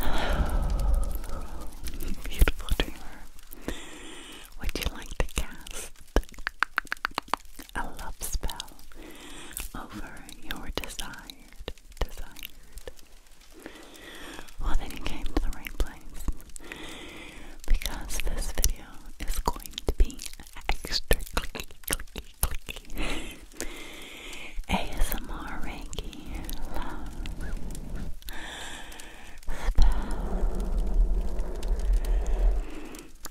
Hello, beautiful dreamer. Would you like to cast a love spell over your desired? Well, then you came to the right place because this video is going to be extra clicky, clicky, clicky ASMR Reiki Love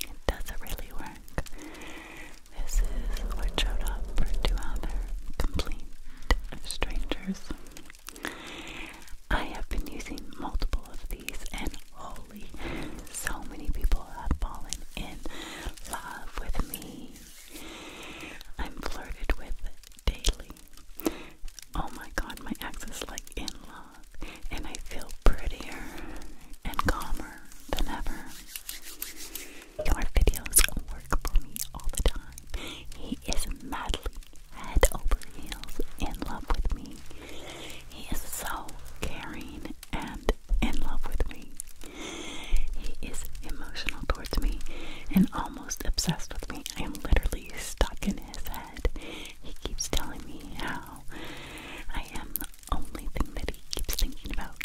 It doesn't really work. This is what showed up for two other complete strangers. I have been using multiple of these, and holy, so many people have fallen in love with me. I'm flirted with daily. Oh my god, my ex is like in love, and I feel prettier and calmer than ever. Your videos work for me all the time. He is madly head over heels in love with me. He is so caring and in love with me. He is emotional towards me, and oh almost obsessed with me. I am literally stuck in his head. He keeps telling me how I am the only thing that he keeps thinking about.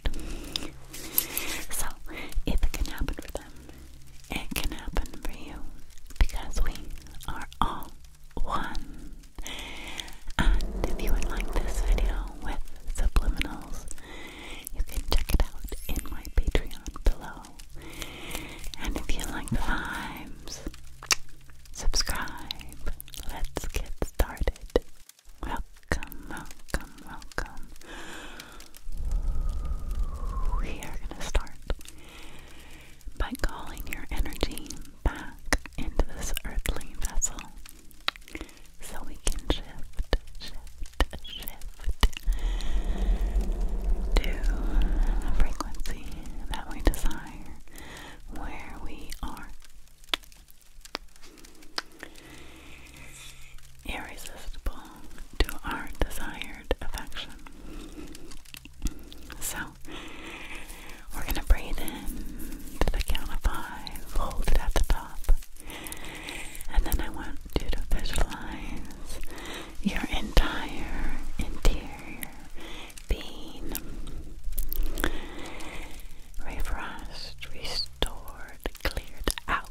So, if it can happen for them, it can happen for you because we are all one. And if you would like this video with subliminals, you can check it out in my Patreon below. And if you like the vibes, subscribe. Let's get started. Welcome, welcome, welcome. We are going to start by calling your energy back into this earthly vessel so we can shift, shift, shift to a frequency that we desire, where we are irresistible to our desired affection. So, we're going to breathe in to the count of five, hold it at the top, and then I want you to visualize your entire interior being refreshed, restored, cleared out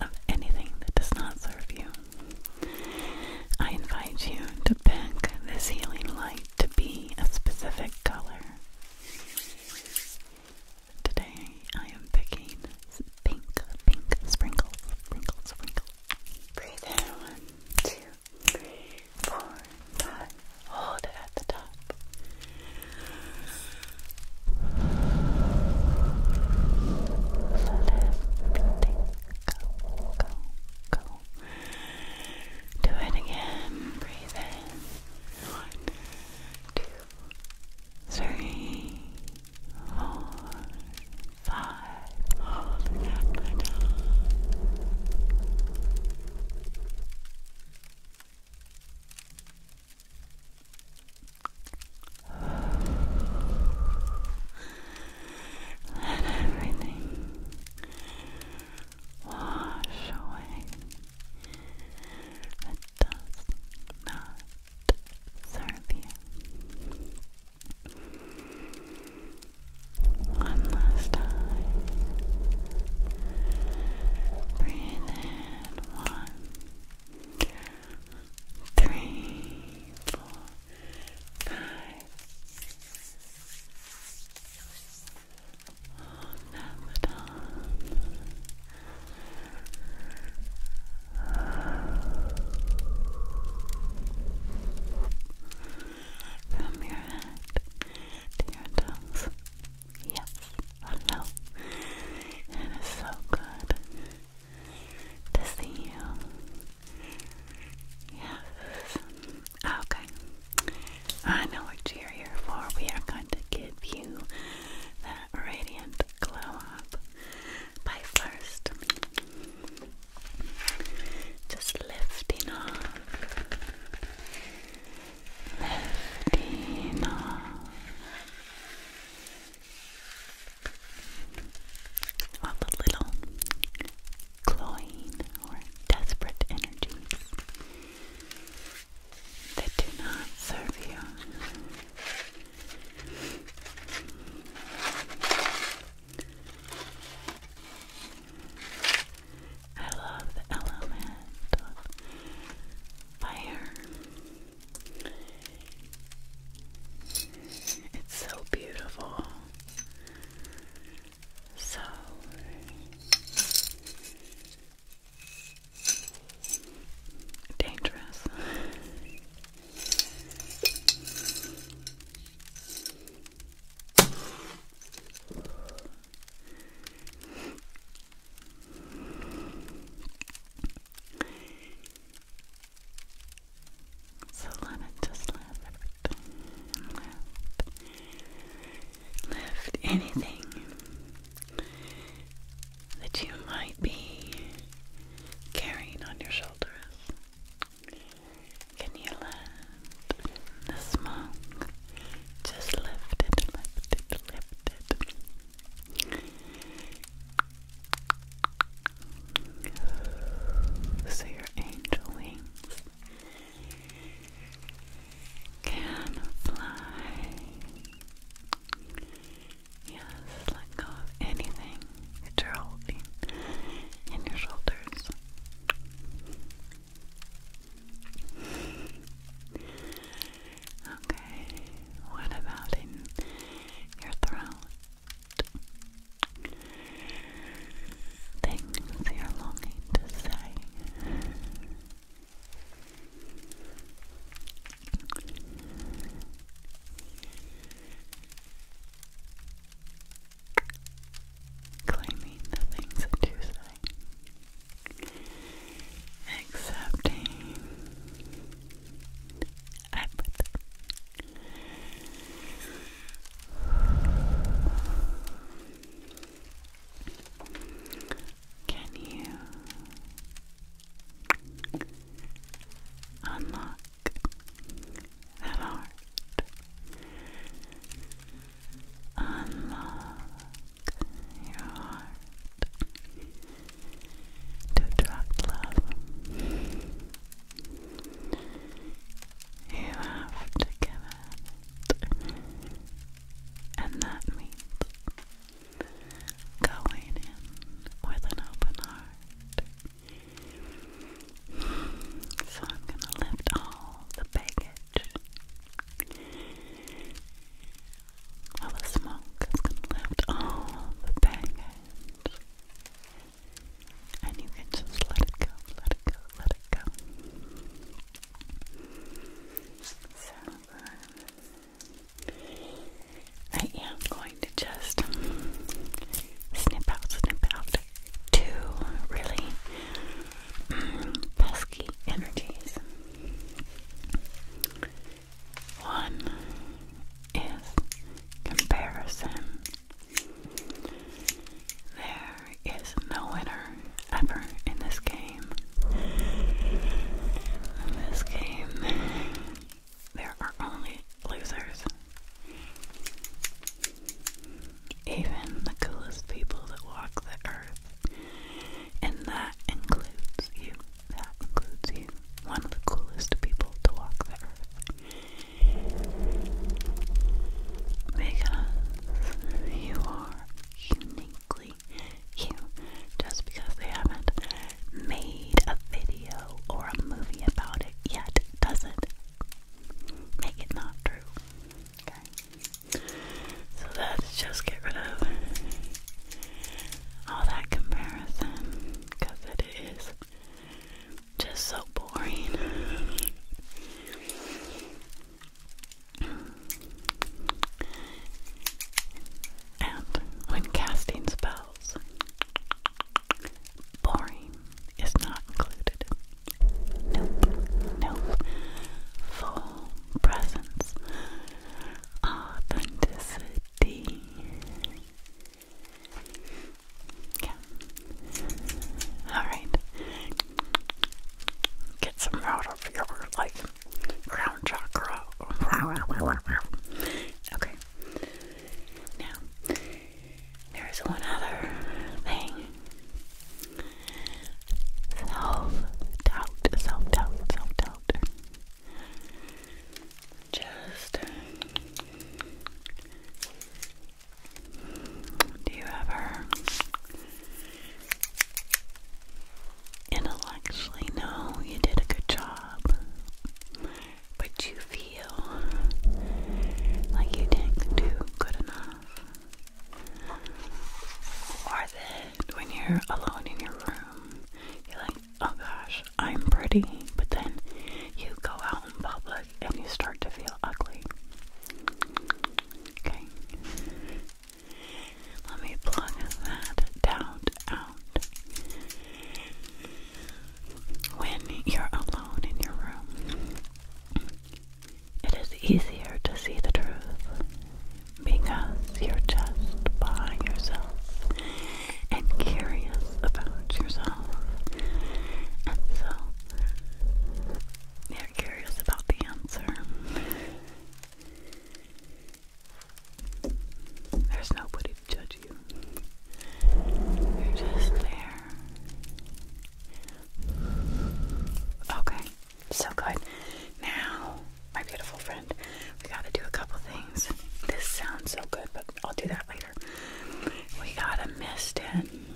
of anything that does not serve you. I invite you to pick this healing light to be a specific color. Today I am picking pink, pink sprinkles, sprinkles, sprinkles. Breathe in one, two, three, four, five. Hold it at the top. Let everything go, go, go. Do it again. Breathe in. One, two, three, four, five, and everything wash away. Let dust not Sorry. One last time. Breathe in. One, three, four, five. Hold that the from your head to your toes. Yes, I know. It is so good to see you. Yes. Okay. I know what you're here for. We are going to give you that radiant glow up by first just lifting off, lifting off all the little clawing or desperate energies that do not serve you. I love the element of fire. It's so beautiful. So dangerous. So let it just lift lift anything that you might be carrying on your shoulders. Can you let the smoke just lift it, lift it, lift it? So your angel wings can fly. Yes, let go of anything that you're holding in your shoulders. Okay, what about in your throat? Things you're longing to say. Claiming the things that you say. Accepting empathy. Can you Unlock that Unlock your heart to attract love. You have to get it, and that going in with an open heart. So I'm going to lift all the baggage. All the smoke is going to lift all the baggage. And you can just let it go, let it go, let it go. I am going to just snip out, snip out two really mm, pesky energies. One is comparison. There is no winner ever in this game. In this game, there are only losers. Even the coolest people that walk the earth. And that includes you. That includes you. One of the coolest people to walk the earth. Because you are uniquely you. Just because they haven't made a video or a movie about it yet doesn't make it not true. So let's just get rid of all that comparison because it is just so boring. And when casting spells, Boring is not included. Nope, nope. Full presence, authenticity. Yeah. Alright. Get some out of your like crown chakra. okay. Now, there's one other thing. Self-doubt, self-doubt, self-doubt. Just do you ever intellectually know you did a good job? but you feel like you didn't do good enough. Or that when you're alone in your room, you're like, oh gosh, I'm pretty, but then you go out in public and you start to feel ugly. Okay. Let me plug that doubt out when you're alone in your room, it is easier to see the truth because you're just by yourself and curious about yourself. And so you're curious about the answer. There's nobody to judge you. You're just there. Okay, so good. Now, my beautiful friend, we gotta do a couple things. This sounds so good, but I'll do that later. We gotta mist in.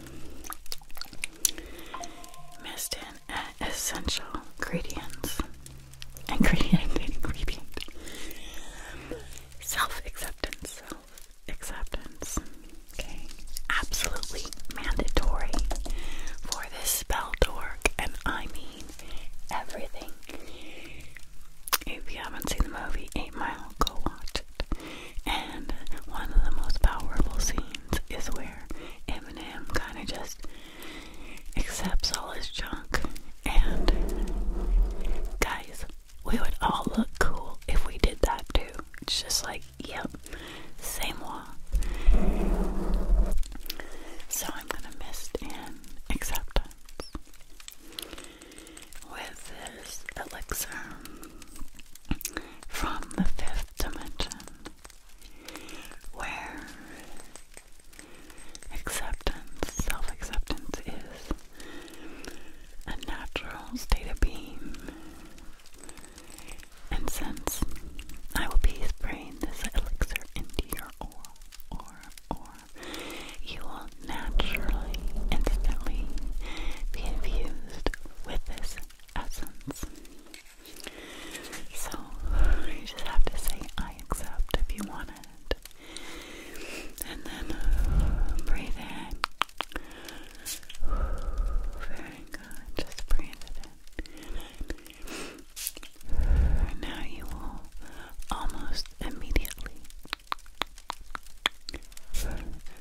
Mist in essential ingredients. Ingredient, ingredient. Self acceptance, self acceptance. Okay, absolutely mandatory for this spell to work, and I mean everything. If you haven't seen the movie Eight Mile, go watch it. And one of the most powerful scenes is where Eminem kind of just accepts all his junk. And guys, we would all look cool if we did that too. It's just like, yep, same moi. So I'm gonna mist in acceptance with this elixir from the fifth dimension where acceptance, self acceptance is a natural state of being. And since I will be spraying this elixir into your aura, aura, you will naturally, instantly be infused with this essence. So, you just have to say, I accept if you want it. And then uh, breathe in. Very good. Just breathe it in. Now you will almost immediately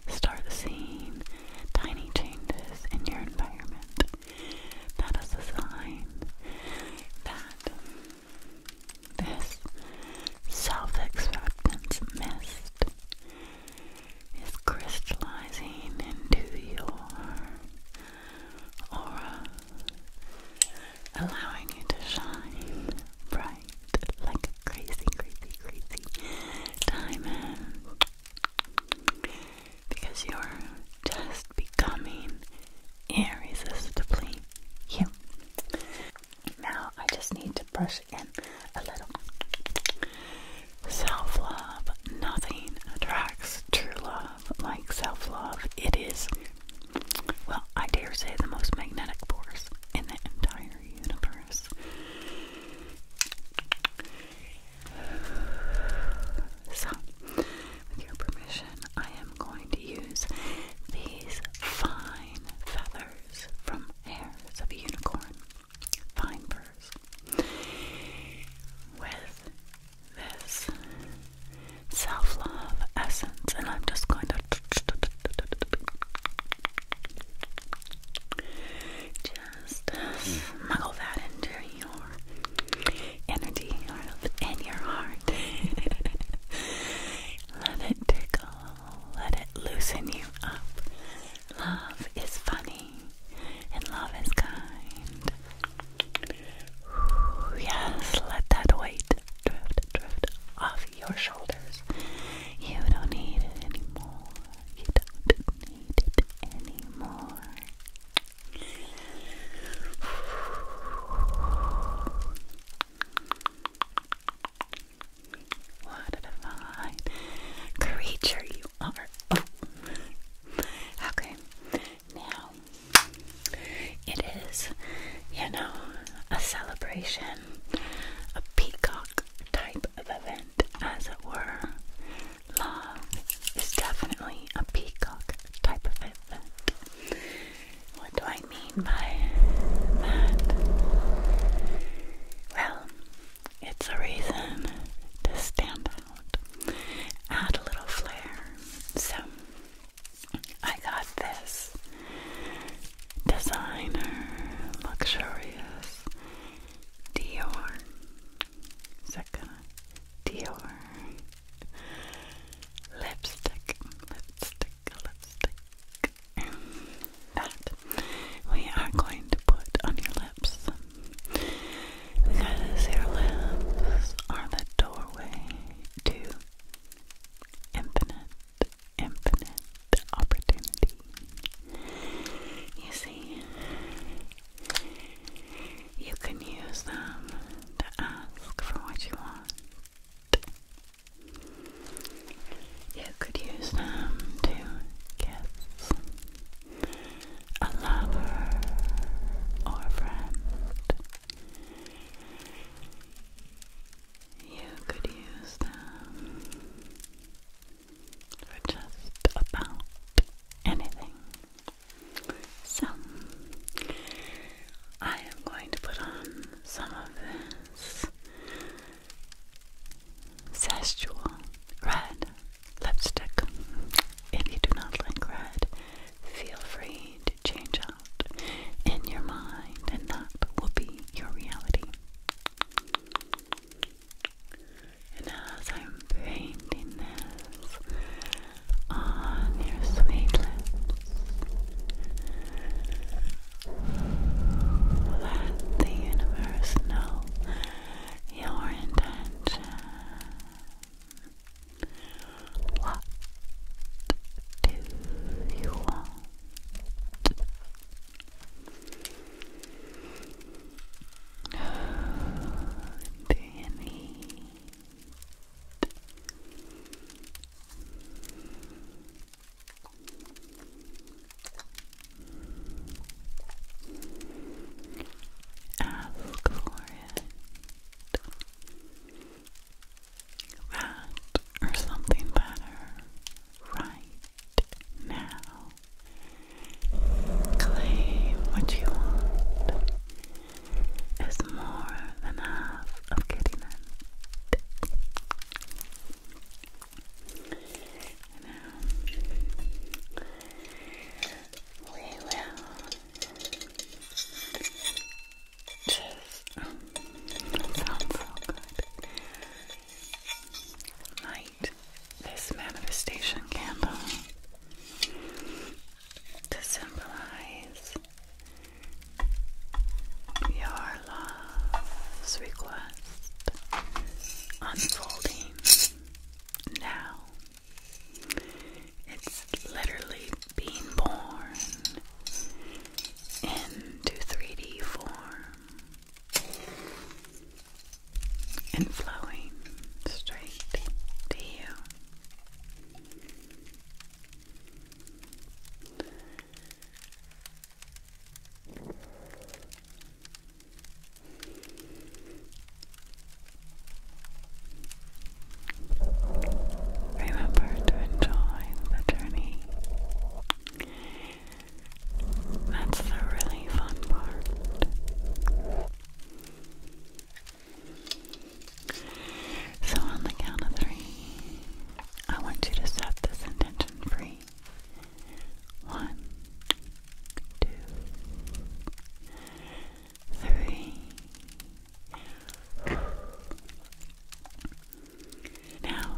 start seeing tiny changes in your environment. That is a sign that this self acceptance mist is crystallizing into your aura, allowing you to shine bright like a crazy, crazy, crazy diamond because you're just becoming irresistibly you. Now I just need to brush in a little. Self love. Nothing attracts true love like self love. It is, well, I dare say, the most magnetic force in the entire universe. So, with your permission, I am going to use these fine feathers from hairs of a unicorn, fine furs. With this self love essence, and I'm just going to just smuggle that into your energy and your heart. Let it tickle let it loosen you up. Love is funny and love is kind. yes, let that weight drift, drift off your shoulders. You don't need it anymore. You don't need it anymore. What a divine creature you are. Oh. Okay. Now it is, you know, a celebration, a peacock type of event, as it were. Love is definitely a peacock type of event. What do I mean by that? Well, it's a reason to stand out, add a little flair. So, I got this designer, luxurious Dior. Is that gonna? Dior lipstick, lipstick, lipstick, that we are going to put on your lips because your lips are the doorway to infinite, infinite opportunity. You see, you can use them to ask for what you want. You could use them to get a lover or friend. You could use them for just about anything. So, I am going to put on some of this Szechuan red lipstick. If you do not like red, feel free to change out in your mind, and that will be your reality. And as I'm painting this on your sweet let the universe know your intention. What do you need? Ask for it. That or something better right now. Claim what you want is more than half of getting now we will just Light this manifestation candle to symbolize your love's request unfolding now. It's literally being born into 3D form and flowing straight to you. Remember to enjoy the journey. That's the really fun part. So, on the count of three, I want you to set this intention free. One, two, three. Now,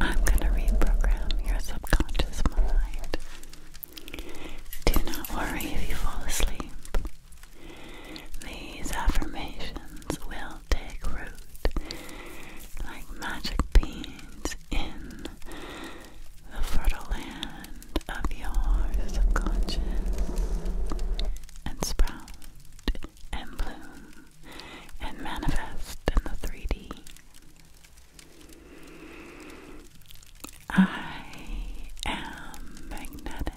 I'm going to reprogram your subconscious mind. Do not worry if you fall asleep. These affirmations will will take root like magic beans in the fertile land of your subconscious and sprout and bloom and manifest in the 3D. I am magnetic.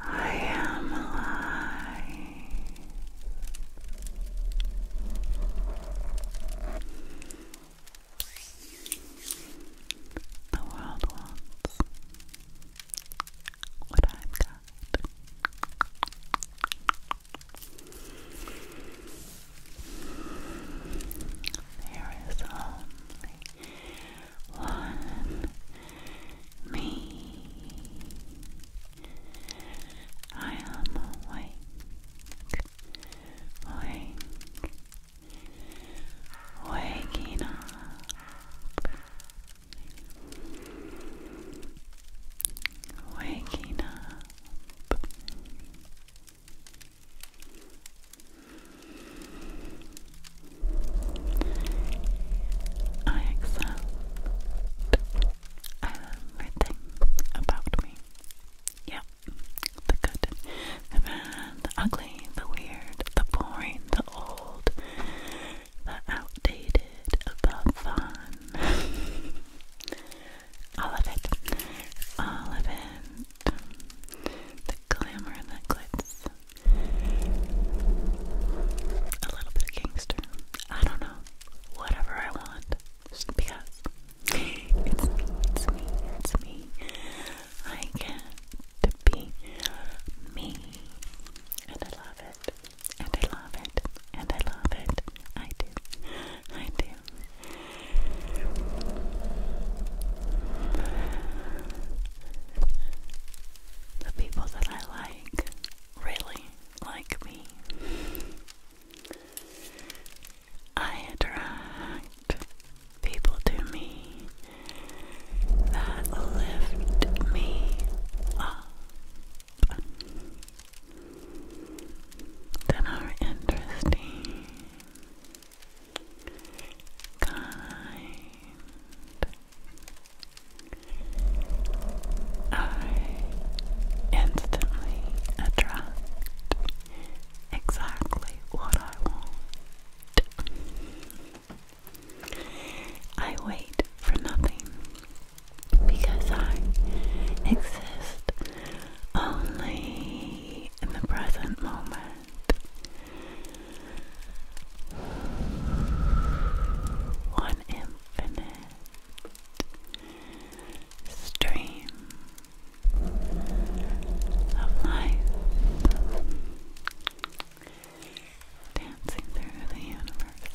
I am alive. The world wants what I've got. There is only one me. I am awake, awake, waking up, waking up. I accept everything about me. Yep, the good, the bad, the ugly, the weird, the boring, the old, the outdated, the fun. All of it. All of it. The glamour that glitz. A little bit of gangster. I don't know. Whatever I want. Just because. It's It's me. It's me. I get to be me. And I love it. And I love it. And I love it. I do. I do. The people that I like really like me. I attract people to me that lift me up that are interesting, kind. I instantly attract exactly what I want. I wait for nothing because I exist only in the present moment. One infinite stream of life dancing through the universe.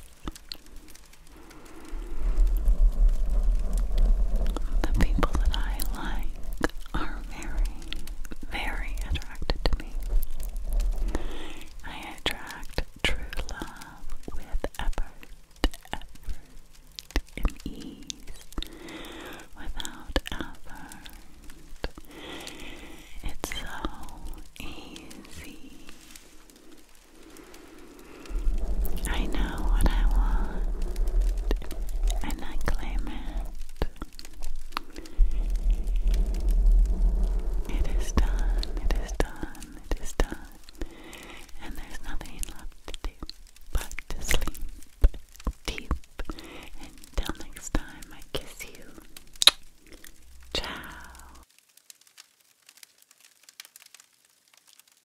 The people that I like are very, very attracted to me. I attract true love with effort, effort, and ease, without effort. It's so easy. I know what I want, and I claim it. It is done, it is done, it is done, and there's nothing left to do but to sleep deep. Until next time, I kiss you. Ciao.